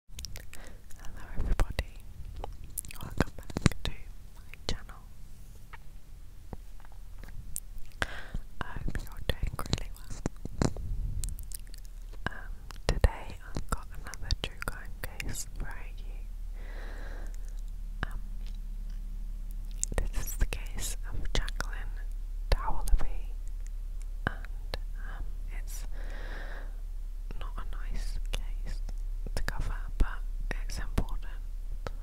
Hello everybody, welcome back to my channel. I hope you're doing really well. Um, today I've got another true crime case for you. Um, this is the case of Jacqueline Dowerleby and um, it's not a nice case to cover, but it's important, so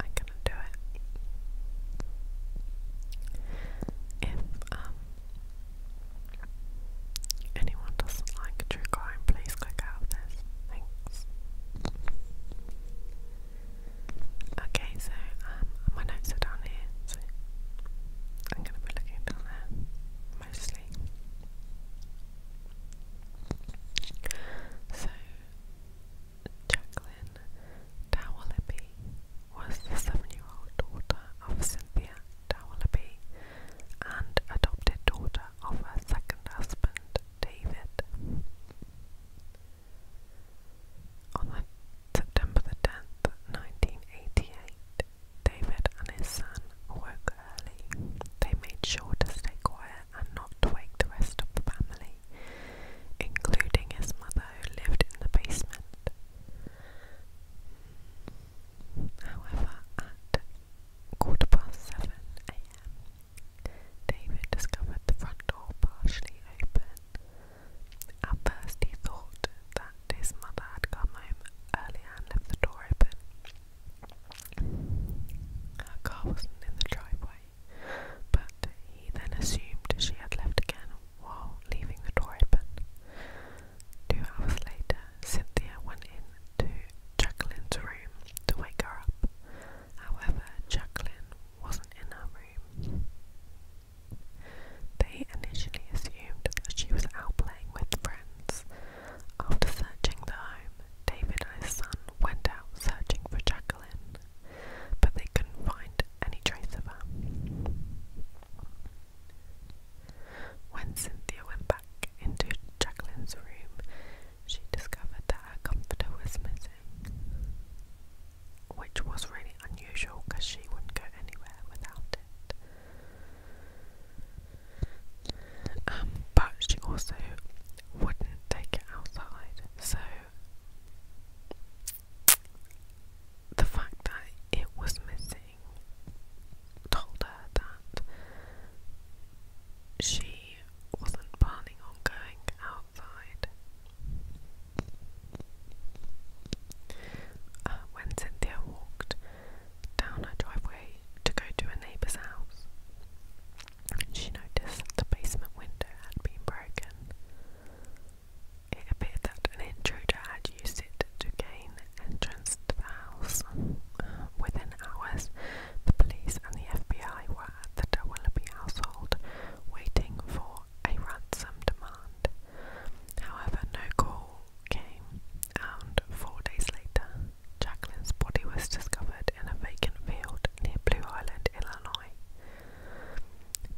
I could do it. If um, anyone doesn't like true crime, please click out of this. Thanks. Okay, so um, my notes are down here. I'm going to be looking down there, mostly. So, Jacqueline Dowallaby was the seven-year-old daughter of Cynthia Dowellaby and adopted daughter of her second husband, David. On September the 10th, 1988, David and his son awoke early. They made sure to stay quiet and not wake the rest of the family, including his mother who lived in the basement. However, at quarter past seven a.m., David discovered the front door partially open at first, he thought that his mother had come home early and left the door open. Her car wasn't in the driveway, but he then assumed she had left again while leaving the door open. Two hours later, Cynthia went in to Jacqueline's room to wake her up. However, Jacqueline wasn't in her room. They initially assumed that she was out playing with friends. After searching the home, David and his son went out searching for Jacqueline, but they couldn't find any trace of her. When Cynthia went back into Jacqueline's room, she discovered that her comforter was missing which was really unusual because she wouldn't go anywhere without it. Um, but she also wouldn't take it outside, so the fact that it was missing told her that she wasn't planning on going outside uh, when Cynthia walked down her driveway to go to a neighbor's house, she noticed the basement window had been broken. It appeared that an intruder had used it to gain entrance to the house. Within hours, the police and the FBI were at the De household waiting for a ransom demand. However, no call came, and four days later, Jacqueline's body was discovered in a vacant field near Blue Island, Illinois.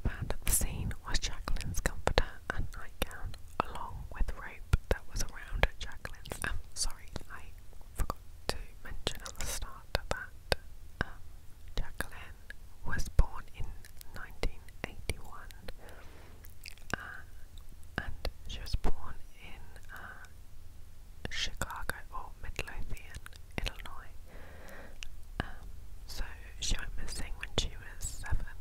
Found at the scene was Jacqueline's comforter and nightgown, along with rope that was around Jacqueline's. Um, sorry, I forgot to mention at the start that um, Jacqueline Allen was born in 1981, uh, and she was born in uh, Chicago or Midlothian, Illinois. Um, so she went missing when she was seven.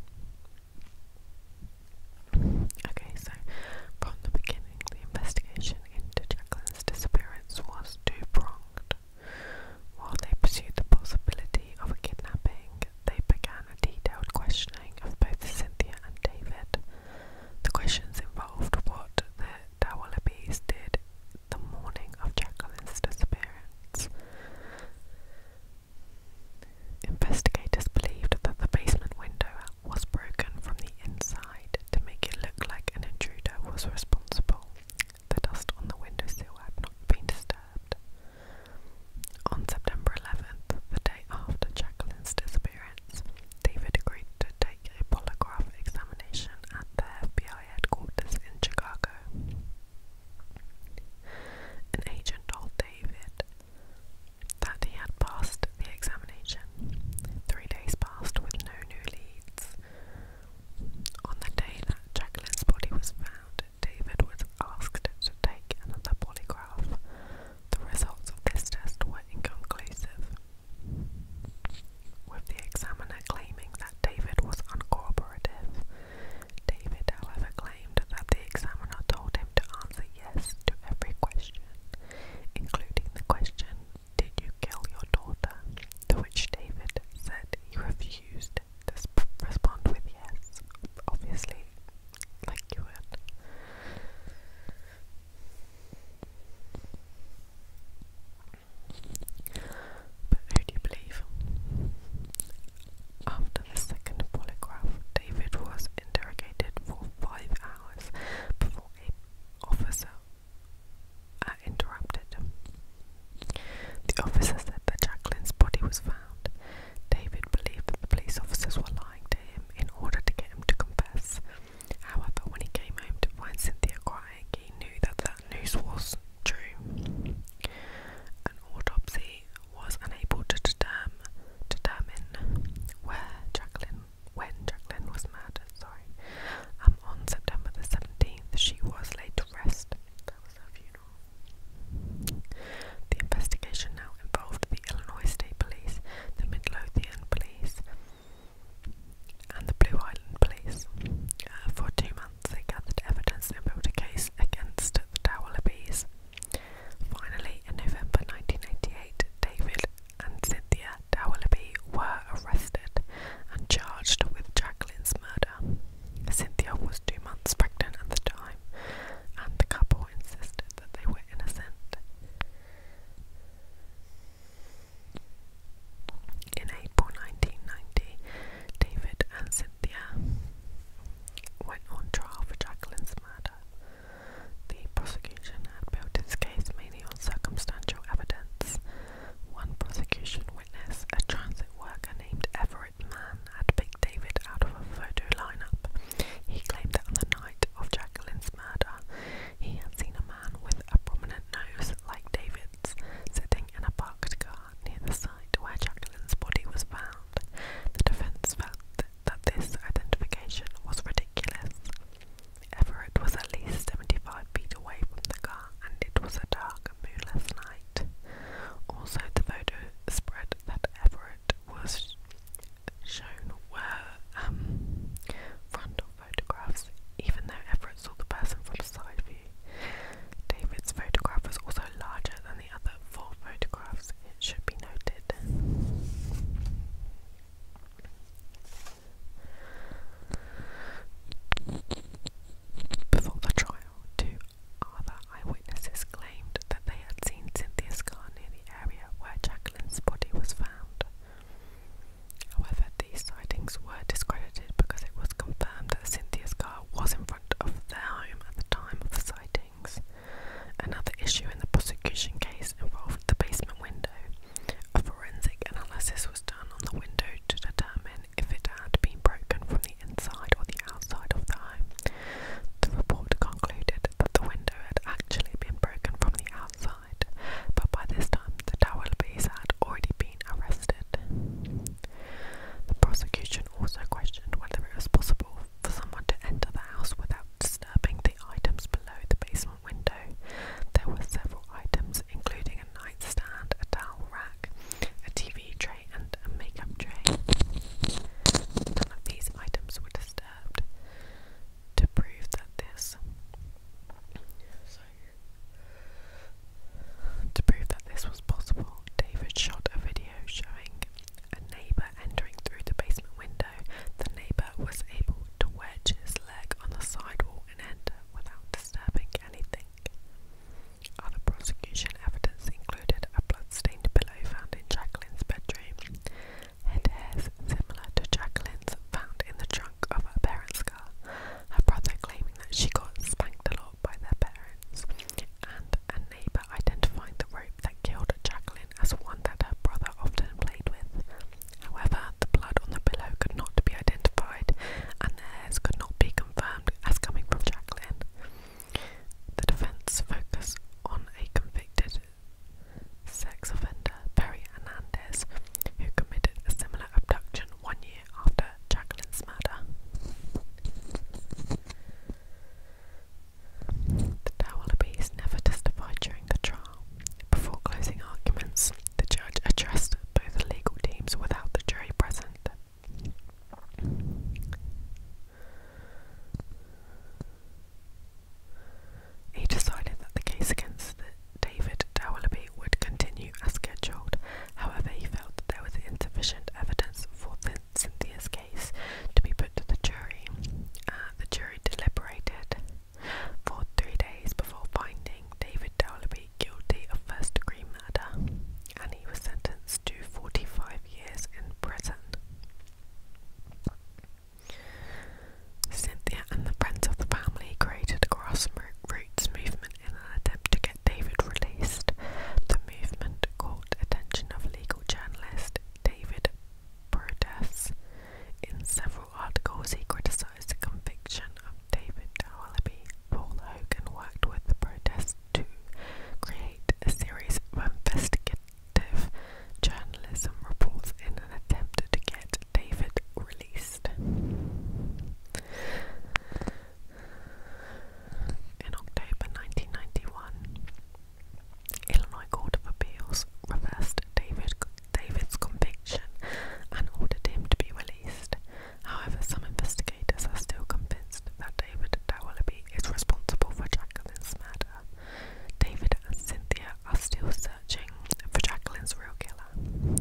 Okay, so from the beginning, the investigation into Jacqueline's disappearance was two pronged. While they pursued the possibility of a kidnapping, they began a detailed questioning of both Cynthia and David. The questions involved what the Dowallabys did the morning of Jacqueline's disappearance. Investigators believed that the basement window was broken from the inside to make it look like an intruder was responsible. The dust on the windowsill had not been disturbed. On September 11th, the day after Jacqueline's disappearance, David agreed to take a polygraph examination at the FBI headquarters in Chicago. An agent told David that he had passed the examination. Three days passed with no new leads. On the day that Jacqueline's body was found, David was asked to take another polygraph. The results of this test were inconclusive, with the examiner claiming that David was uncooperative. David, however, claimed that the examiner told him to answer yes to every question, including the question did you kill your daughter? To which David said he refused to respond with yes. Obviously, like you But who do you believe? After the second polygraph, David was interrogated for five hours before an officer uh, interrupted. The officer said that Jacqueline's body was found. David believed that the police officers were lying to him in order to get him to confess. However, when he came home to find Cynthia crying, he knew that the news was true. An autopsy was unable to determine, determine where Jacqueline when Jacqueline was murdered, sorry. Um, on September the 17th, she was laid to rest. That was her funeral. The investigation now involved the Illinois State Police, the Midlothian Police, and the Blue Island Police. Uh, for two months, they gathered evidence and built a case against the Dowlabies. Finally, in November 1988, David and Cynthia Dowerleby were arrested and charged with Jacqueline's murder. Cynthia was two months pregnant at the time, and the couple insisted that they were innocent. In April 1990, David and Cynthia went on trial for Jacqueline's murder. The prosecution had built its case testimonial circumstantial evidence. One prosecution witness, a transit worker named Everett Mann, had picked David out of a photo lineup. He claimed that on the night of Jacqueline's murder, he had seen a man with a prominent nose like David's sitting in a parked car near the site where Jacqueline's body was found. The defense felt that this identification was ridiculous. Everett was at least seventy-five feet away from the car, and it was a dark and moonless night. Also, the photo spread that Everett was shown were um, frontal photographs, even though Everett saw the person from side view. David's photograph was also larger than the other four photographs, it should be noted. Before the trial, two other eyewitnesses claimed that they had seen Cynthia's car near the area where Jacqueline's body was found. However, these sightings were discredited because it was confirmed that Cynthia's car was in front of their home at the time of the sightings. Another issue in the prosecution case involved the basement window. A forensic analysis was done on the window to determine if it had been broken from the inside or the outside of the home. The report concluded that the window had actually been broken from the outside, but by this time the Dowelbys had already been arrested. The prosecution also questioned whether it was possible for someone to enter the house without disturbing the items below the basement window. There were several items, including a nightstand, a towel rack, a TV tray, and a makeup tray. None of these items were disturbed. To prove that this, to prove that this was possible, David shot a video showing a neighbour entering through the basement window the neighbour was able to wedge his leg on the sidewalk and enter without disturbing anything. Other prosecution evidence included a blood-stained pillow found in Jacqueline's bedroom, and hairs similar to Jacqueline's found in the trunk of her parents' car, her brother claiming that she got spanked a lot by their parents, and a neighbour identifying the rope that killed Jacqueline as one that her brother often played with. However, the blood on the pillow could not be identified, and the hairs could not be confirmed as coming from Jacqueline. The defense focused on a convicted sex offender, Perry Hernandez, who committed a similar abduction one year after Jacqueline's murder. The Dawallabies never testified during the trial. Before closing arguments, the judge addressed both legal teams without the jury present. He decided that the case against David Dawallaby would continue as scheduled. However, he felt that there was insufficient evidence for Cynthia's case to be put the jury. Uh, the jury deliberated for three days before finding David Dowlerby guilty of first degree murder, and he was sentenced to 45 years in prison. Cynthia and the friends of the family created a grassroots movement in an attempt to get David released. The movement caught attention of legal journalist David protests. In several articles, he criticized the conviction of David Dowallaby. Paul Hogan worked with the protest to create a series of investigative journalism reports in an attempt to get David released. In October 1991, Illinois Court of Appeals reversed David, David's conviction and ordered him to be released. However, some investigators are still convinced that David Dowallaby is responsible for Jacqueline's murder. David and Cynthia are still searching for Jacqueline's real killer.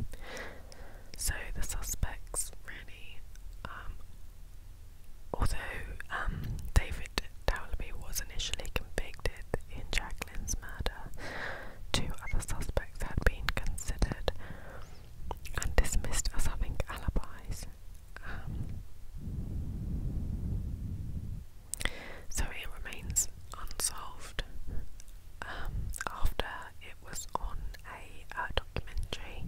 So the suspects really um, Although um, David Dowlby was initially convicted in Jacqueline's murder, two other suspects had been considered and dismissed as having alibis. Um, so it remains unsolved. Um, after it was on a uh, documentary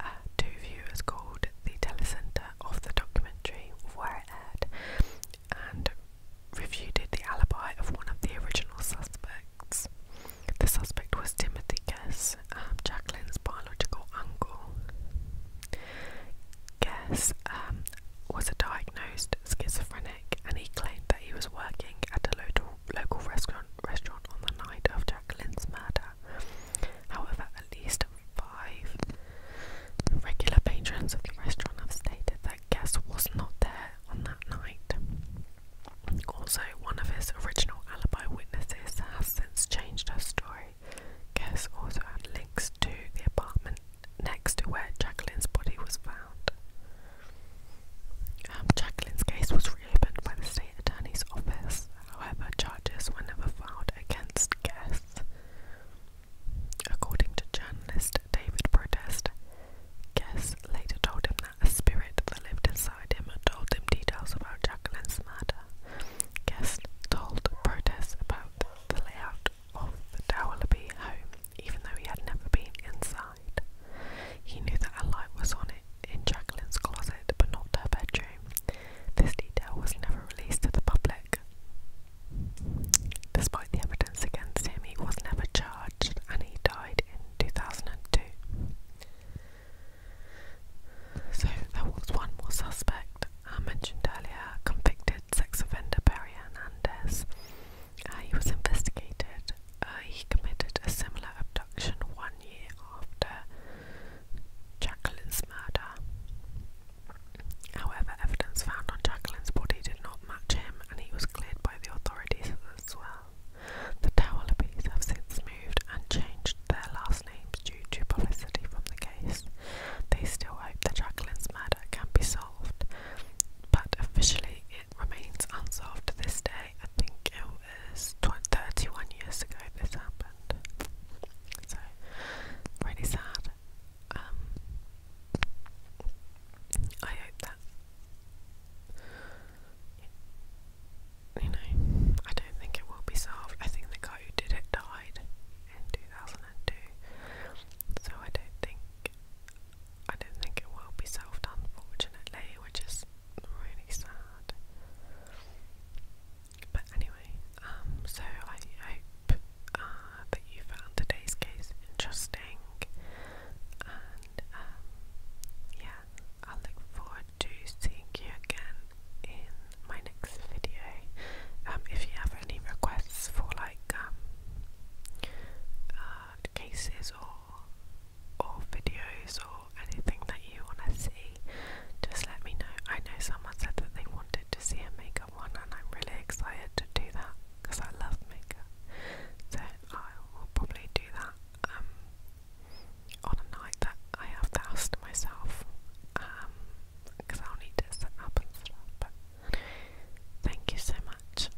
uh, two viewers called the telecentre of the documentary where it aired and reviewed the alibi of one of the original suspects. The suspect was Timothy Guess, um, Jacqueline's biological uncle. Guess um, was a diagnosed schizophrenic, and he claimed that he was working at a local, local restaurant, restaurant on the night of Jacqueline's murder. However, at least five regular patrons of the restaurant have stated that Guest was not there on that night. Also, one of his original alibi witnesses has since changed her story. Guest also had links to the apartment next to where Jacqueline's body was found. Um, Jacqueline's case was reopened by the state attorney's office. However, charges were never filed against Guest. According to journalist David Protest, Guest later told him that a spirit that lived inside him told him details about Jacqueline's murder. Guest told Protest about the layout of the Dowerleby home, even though he had never been inside. He knew that a light was on it in Jacqueline's closet but not her bedroom. This detail was never released to the public. Despite the evidence against him, he was never charged and he died in 2002. So there was one more suspect I uh, mentioned earlier, convicted sex offender Barry Hernandez. Uh, he was investigated. Uh, he committed a similar abduction one year after Jacqueline's murder. However, evidence found on Jacqueline's body did not match him and he was cleared by the authorities as well. The Towelabees have since moved and changed their last names due to publicity from the case. They still hope the Jacqueline's murder can be solved, but officially it remains unsolved to this day I think it was 31 years ago this happened. So, really sad. Um, I hope that, you know, I don't think it will be solved. I think the guy who did it died in 2002. So I don't think, I don't think it will be solved unfortunately, which is really sad. But anyway, um, so I hope uh, that you found today's case interesting, and um, yeah, I look forward to seeing you again in my next video. Um, if you have any requests for like um, uh, cases or or videos or anything that you want to see, just let me know. I know someone said that they wanted to see a makeup one, and I'm really excited to do that because I love makeup. So I will probably do that um, on a night that I have the house to myself because um, I'll need to set up and stuff. But thank you so much.